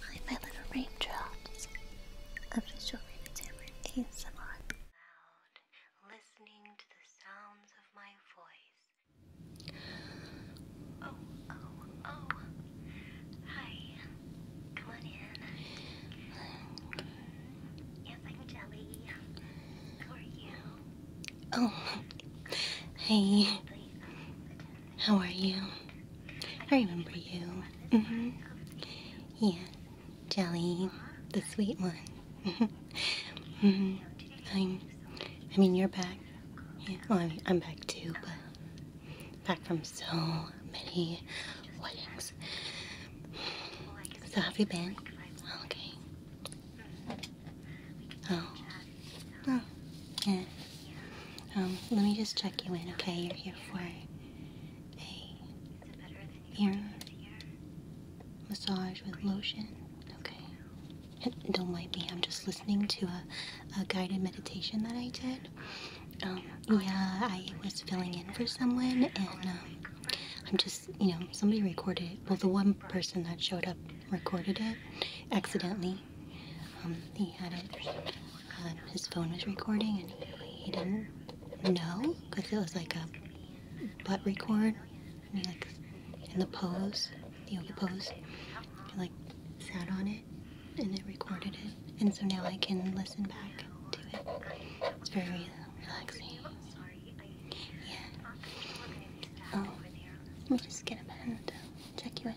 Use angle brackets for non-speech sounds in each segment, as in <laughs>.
Hi, my little raindrops. Official Rainy ASMR. Loud, listening to the sounds of my voice. Oh, oh, oh. Hi. Come on in. Yes, I'm Jelly. How are you? Oh. Hey. How are you? I remember you. Mm-hmm. Yeah, Jelly, the sweet one. Mm-hmm. Mm-hmm. I'm, I mean, you're back. Yeah, I'm, back too, but back from so many weddings. So, have you been? Okay. Oh. Oh, yeah. Um, let me just check you in, okay? You're here for a massage with lotion, okay? Don't mind me, I'm just listening to a, a guided meditation that I did. Um, yeah, I was filling in for someone, and um, I'm just, you know, somebody recorded Well, the one person that showed up recorded it accidentally, um, he had it, um, his phone was recording and he, didn't know because it was like a butt record. And he like, in the pose, the yoga pose, like sat on it and it recorded it. And so now I can listen back to it. It's very relaxing. Yeah. Oh, let me just get a pen to check you in.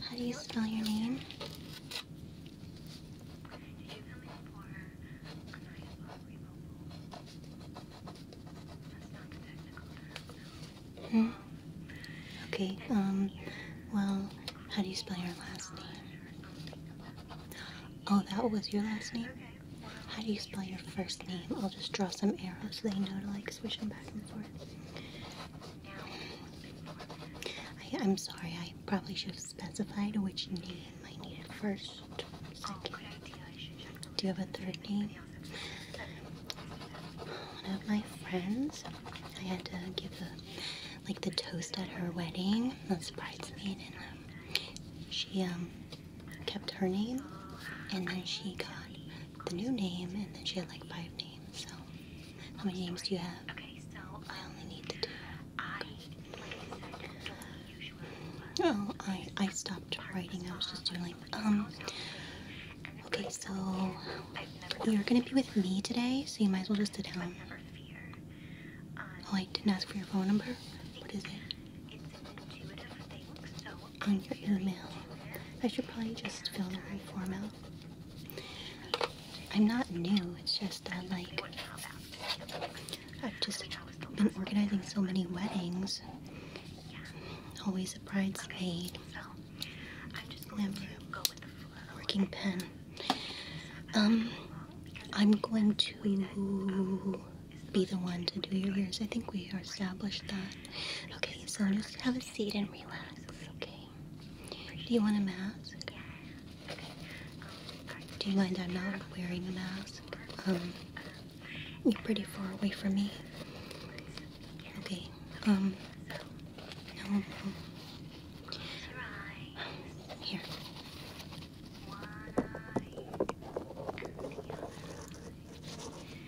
How do you spell your name? Hmm? Okay, um, well, how do you spell your last name? Oh, that was your last name? How do you spell your first name? I'll just draw some arrows so they know to like switch them back and forth. I, am sorry, I probably should have specified which name I needed first. Do you have a third name? One of my friends, I had to give a, like the toast at her wedding, the bridesmaid, and um, she um, kept her name, and then she got the new name, and then she had like five names. So, how many names do you have? Okay, so um, I only need the two. I, Oh, I I stopped writing. I was just doing like um. Okay, so you're gonna be with me today, so you might as well just sit down. Um, oh, I didn't ask for your phone number. What is it? on your email. I should probably just fill the right form out. I'm not new, it's just I like, I've just been organizing so many weddings. Always a bridesmaid. Never a working pen. Um, I'm going to be the one to do your ears. I think we established that. Okay, so just have a seat and relax. Okay. Do you want a mask? Do you mind I'm not wearing a mask? Um, you're pretty far away from me. Okay. Um. um here.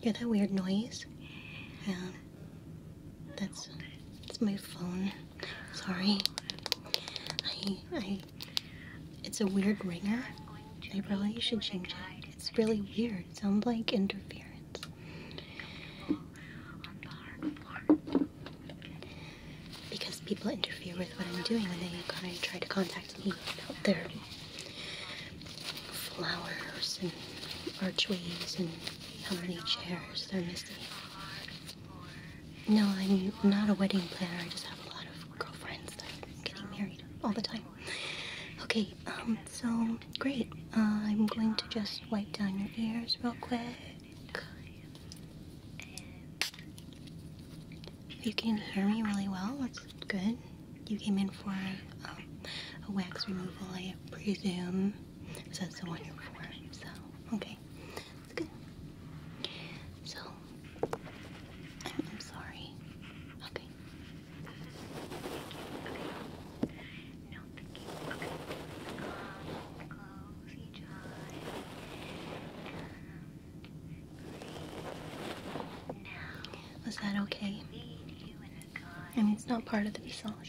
You hear that weird noise? Yeah. That's it's my phone. Sorry. I I it's a weird ringer. I probably should change it. It's really weird. sounds like interference. Because people interfere with what I'm doing when they try to contact me out there flowers and archways and how many chairs they're missing. No, I'm not a wedding planner. I just have a lot of girlfriends that are getting married all the time. Okay, um, so great. Uh, I'm going to just wipe down your ears real quick. You can hear me really well. That's good. You came in for uh, a wax removal, I presume. So that's the one you're for. So, okay. That's good. So, I'm, sorry. Okay. Okay. No, thank you. Was that okay? I mean, it's not part of the massage.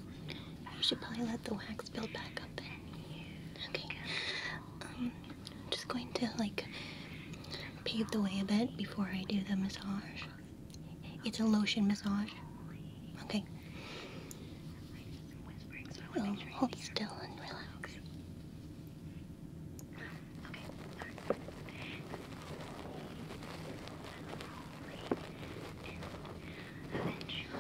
You should probably let the wax build back up then. Okay. Um, I'm just going to like pave the way a bit before I do the massage. It's a lotion massage. Okay. So oh, hold still and relax. Okay.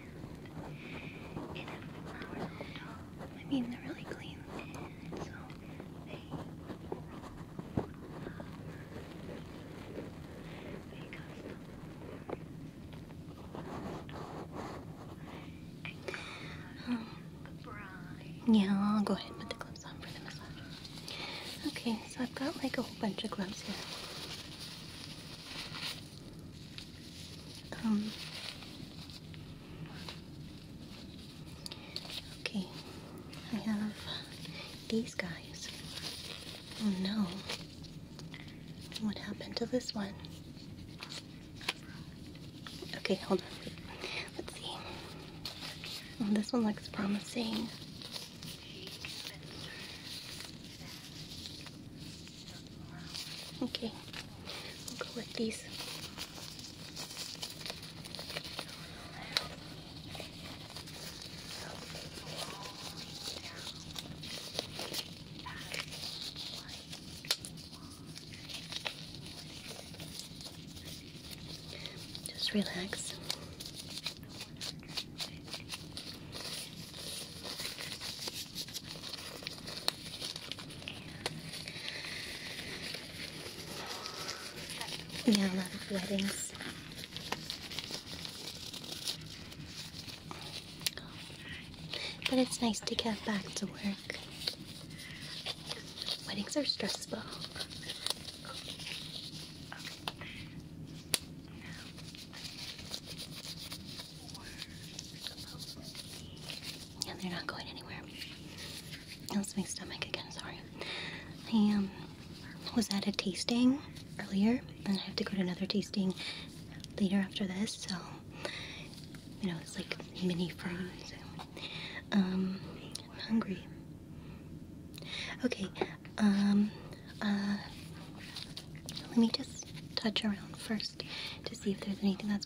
I mean, they're really clean, yeah, I'll go ahead and put the gloves on for the massage. Okay, so I've got like a whole bunch of gloves here. Okay, I have these guys. Oh no. What happened to this one? Okay, hold on. Let's see. Oh, this one looks promising. Okay, I'll go with these. Just relax. And yeah, a lot of weddings. But it's nice to get back to work. Weddings are stressful and they're not going anywhere. Else, my stomach again, sorry. I um, was at a tasting earlier, and I have to go to another tasting later after this, so, you know, it's like mini fries. Um, I'm hungry. Okay, um, uh, let me just touch around first to see if there's anything that's.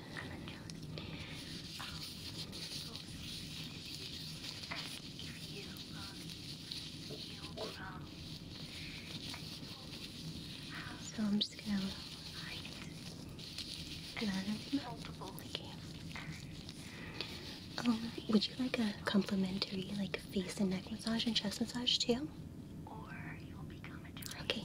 I'm so I'm just gonna hide and I would you like a complimentary like face and neck massage and chest massage too? Okay.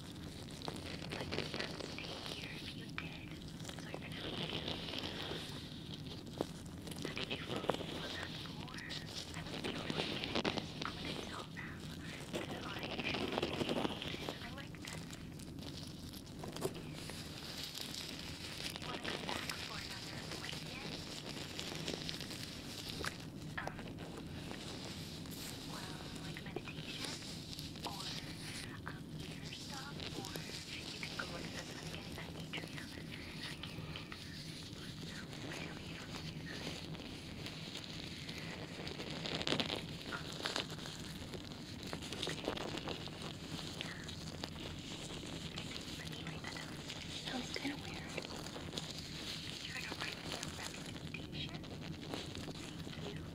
But you can't stay here if you did. So you're gonna have to do How did you fall that for? I was really good. I'm gonna tell them that I should be I like that. You wanna come back for another appointment? Um, well, like meditation? Or, uh, um, your stop, or you can go work this. I'm getting that atrium. I can't get that. No, I don't be able to do that. Um, okay. Let me write that down. That was kind of weird. Try to write down that Thank you.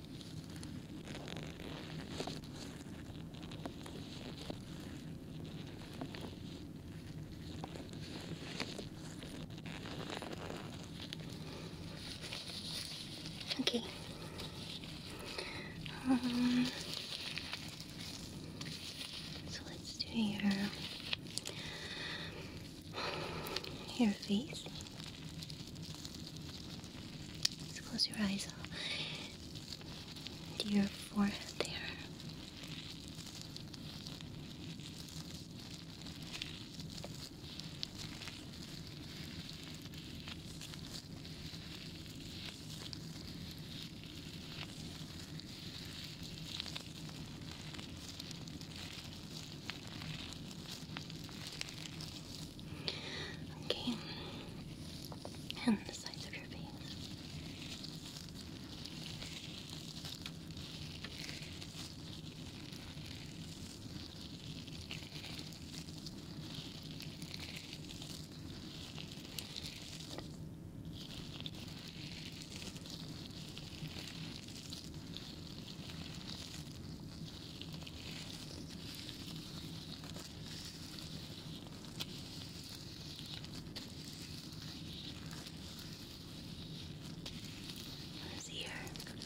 Okay. Um, so let's do your your face. Just close your eyes to your forehead there. Okay. And the sides of your face. His ear. Good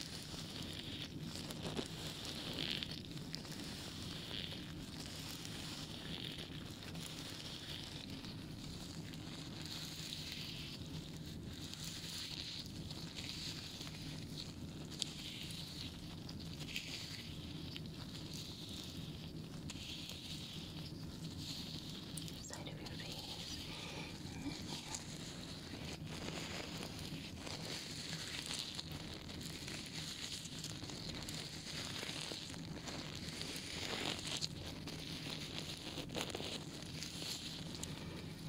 side of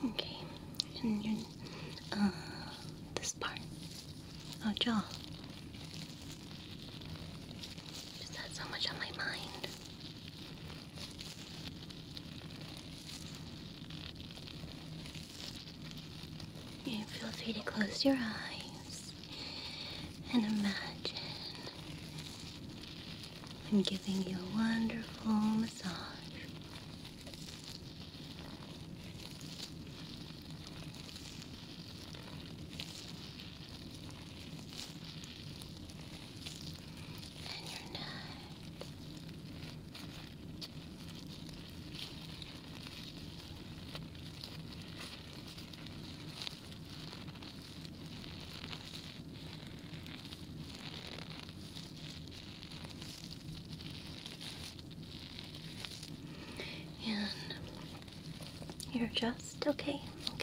Okay, and your, uh, Oh, part. jaw. Just had so much on my mind. You feel free to close your eyes and imagine I'm giving you a wonderful massage. And you're not. And you're just okay. Okay.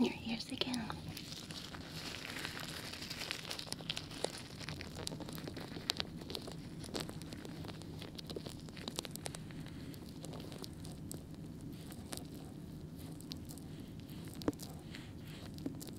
In your ears again.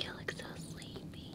You look so sleepy.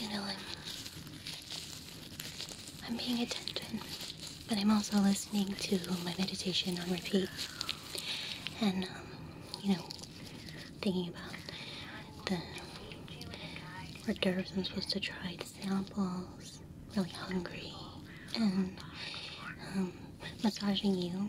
You know, I'm, being attentive, but I'm also listening to my meditation on repeat. And, um, you know, thinking about the hors d'oeuvres I'm supposed to try, the samples, really hungry, and um, massaging you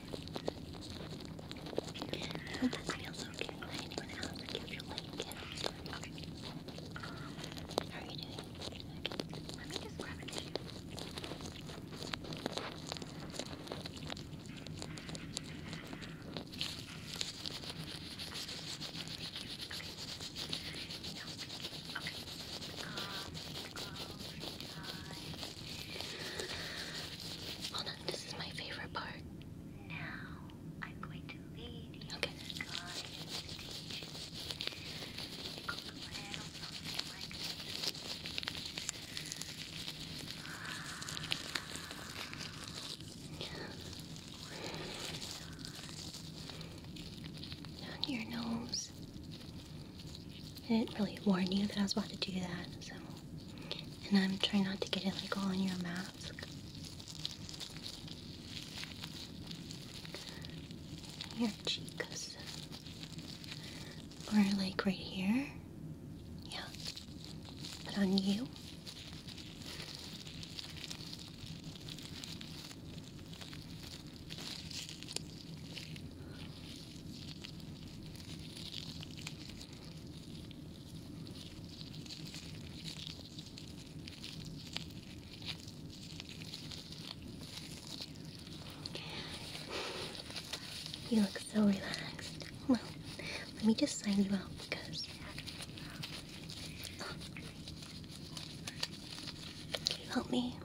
I hope this feels okay. Anyone else give your leg a are you doing? Let me just grab a Thank you. Hold oh on, this is my favorite part. Now I'm going to lead you to the guided meditation. It goes <sighs> a little like this. Down your nose. I didn't really warn you that I was about to do that, so. And I'm trying not to get it like all on your mask. Your cheeks. Or like right here. Yeah. But on you. You look so relaxed. Well, let me just sign you out because can you help me?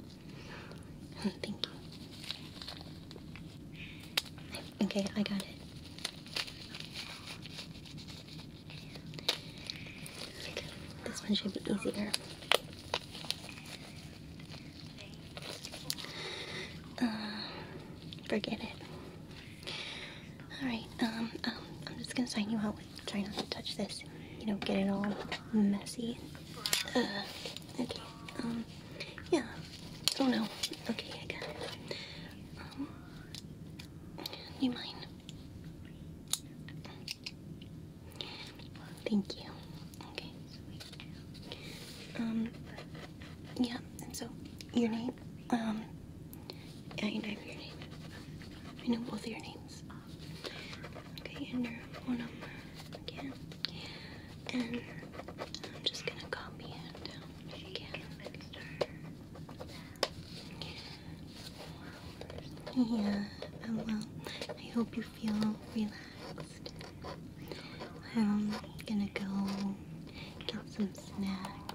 thank you. Okay, I got it. This one should be easier. Uh, forget it. Alright, um, um, I'm just gonna sign you out with try not to touch this. You know, get it all messy. Uh, okay, um. Yeah. Oh no. Okay, I got it. Um, you mind? Thank you. Okay. Um. Yeah. And so, your name? Um. Yeah, you know your name. I know both your names. Okay, and your phone number again. And I'm just gonna copy it down again. Yeah, um, well, I hope you feel relaxed. I'm gonna go get some snacks.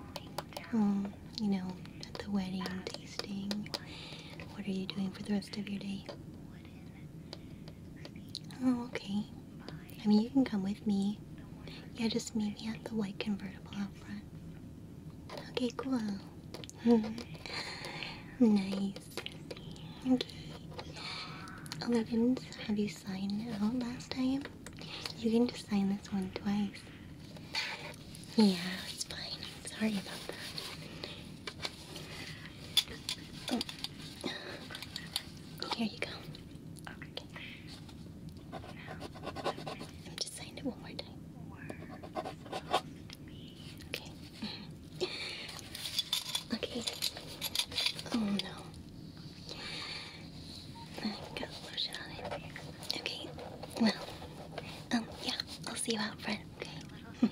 Um, you know, at the wedding tasting. What are you doing for the rest of your day? Oh, okay. I mean, you can come with me. Yeah, just meet me at the white convertible out front. Okay, cool. <laughs> nice. Okay. Oh, have you signed out last time. You can just sign this one twice. Yeah, it's fine. Sorry about that. Here you go. Okay. I'm just saying it one more time. Okay. okay. Oh no. Okay. Well. Um. Yeah. I'll see you out front. Okay.